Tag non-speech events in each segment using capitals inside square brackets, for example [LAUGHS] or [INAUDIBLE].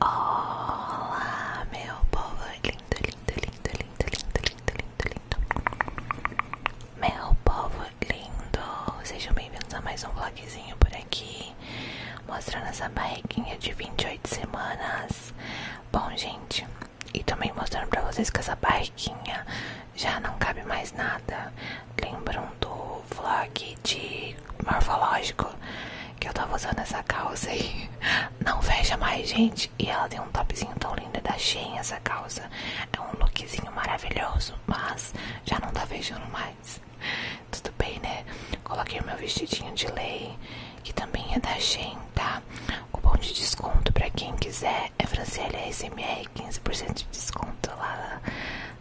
Olá, meu povo lindo, lindo, lindo, lindo, lindo, lindo, lindo, lindo. Meu povo lindo, sejam bem-vindos a mais um vlogzinho por aqui, mostrando essa barriguinha de 28 semanas. Bom, gente, e também mostrando pra vocês que essa barriguinha já não cabe mais nada. Lembram do vlog de morfológico que eu tava usando essa calça aí. Não veja mais, gente. E ela tem um topzinho tão lindo da Shein, essa calça. É um lookzinho maravilhoso, mas já não tá vejando mais. Tudo bem, né? Coloquei o meu vestidinho de lei, que também é da Shein, tá? o Cupom de desconto pra quem quiser é Franciele SMR, 15% de desconto lá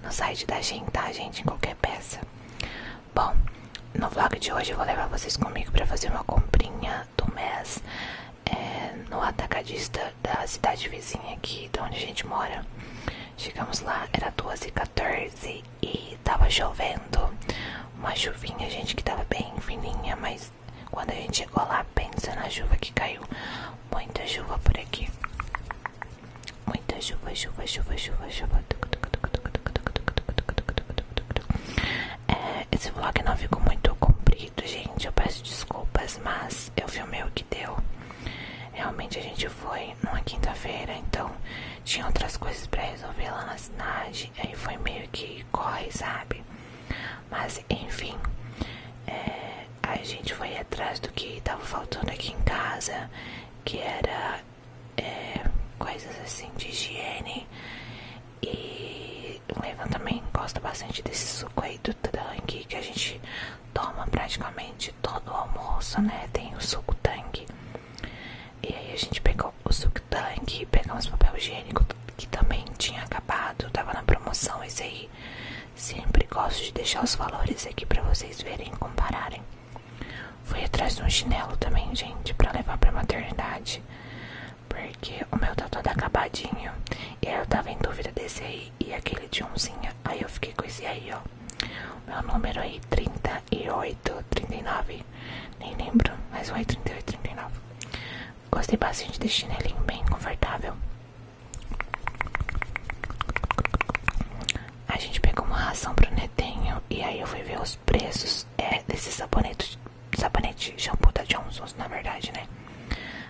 no site da gente, tá, gente? Em qualquer peça. Bom, no vlog de hoje eu vou levar vocês comigo para fazer uma comprinha do mês é, no atacadista da cidade vizinha aqui de onde a gente mora. Chegamos lá, era 2h14 e tava chovendo. Uma chuvinha, gente, que tava bem fininha, mas quando a gente chegou lá, pensa na chuva que caiu. Muita chuva por aqui. Muita chuva, chuva, chuva, chuva, chuva. É, esse vlog não ficou muito comprido, gente. Eu peço desculpas, mas eu filmei o que deu. Realmente a gente foi numa quinta-feira, então tinha outras coisas para resolver lá na cidade. Aí foi meio que corre, sabe? Mas enfim, é, a gente foi atrás do que tava faltando aqui em casa, que era é, coisas assim de higiene. E o Levan também gosta bastante desse suco aí do tangue que a gente toma praticamente todo o almoço, né? Tem o suco tangue. E aí a gente pegou o suco tangue, pegamos papel higiênico que também tinha acabado, tava na promoção esse aí. Sempre gosto de deixar os valores aqui para vocês verem e compararem. Fui atrás de um chinelo também, gente, para levar pra maternidade. Porque o meu tá todo acabadinho. E aí eu tava em dúvida desse aí e aquele de umzinha. Aí eu fiquei com esse aí, ó. meu número aí, 38, 39. Nem lembro, mas o aí 38, 39. Gostei bastante desse chinelinho bem confortável. A gente pegou uma ração pro netinho e aí eu fui ver os preços é, desse sabonete, sabonete shampoo da Johnson's, na verdade, né?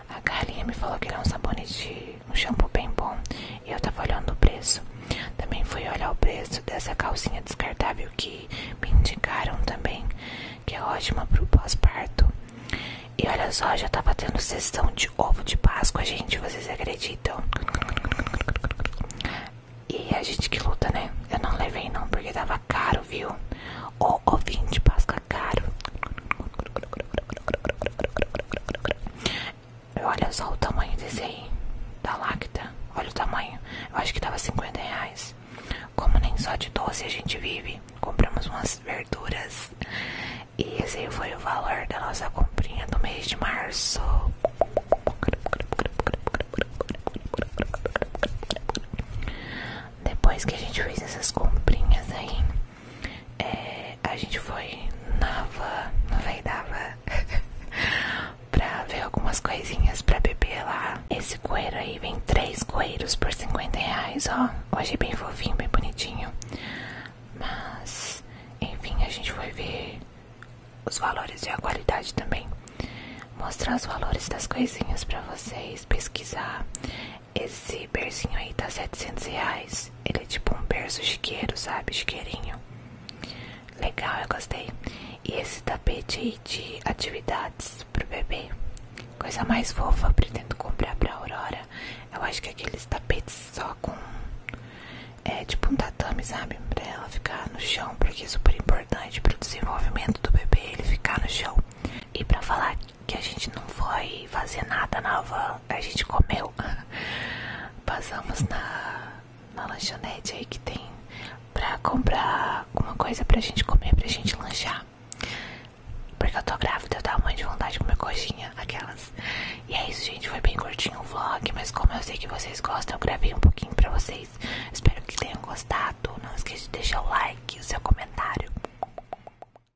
A galinha me falou que ele é um sabonete, um shampoo bem bom e eu tava olhando o preço. Também fui olhar o preço dessa calcinha descartável que me indicaram também, que é ótima pro pós-parto. E olha só, já tava tendo sessão de ovo de Páscoa, gente, vocês acreditam? E a gente que luta, né? Eu não levei não, porque tava caro, viu? O ovo de Páscoa é caro. Olha só o tamanho desse aí da Lacta. Olha o tamanho. Eu acho que tava 50 reais. Como nem só de doce a gente vive, compramos umas verduras. E esse foi o valor da nossa comprinha do mês de março. Depois que a gente fez essas comprinhas aí, é, a gente foi na van, dava. [LAUGHS] pra ver algumas coisinhas pra beber lá. Esse coeiro aí vem três coeiros por 50 reais, ó. Hoje é bem fofinho, bem bonitinho. Mas, enfim, a gente foi ver os valores e a qualidade também. Mostrar os valores das coisinhas pra vocês, pesquisar. Esse bercinho aí tá 700 reais. Ele é tipo um berço chiqueiro, sabe? Chiqueirinho. Legal, eu gostei. E esse tapete aí de atividades pro bebê, coisa mais fofa, pretendo comprar pra Aurora. Eu acho que aqueles tapetes só com. É tipo um tatame, sabe? Pra ela ficar no chão, porque é super importante pro desenvolvimento do bebê ele ficar no chão. E pra falar que a gente não foi fazer nada na van, a gente comeu. [LAUGHS] Passamos na, lanchonete aí que tem pra comprar alguma coisa pra gente comer, pra gente lanchar. Porque eu tô grávida, eu tava muito de vontade de comer coxinha, aquelas. E é isso, gente. Foi bem curtinho o vlog, mas como eu sei que vocês gostam, eu gravei um pouquinho pra vocês. Espero que tenham gostado. Não esqueça de deixar o like e o seu comentário.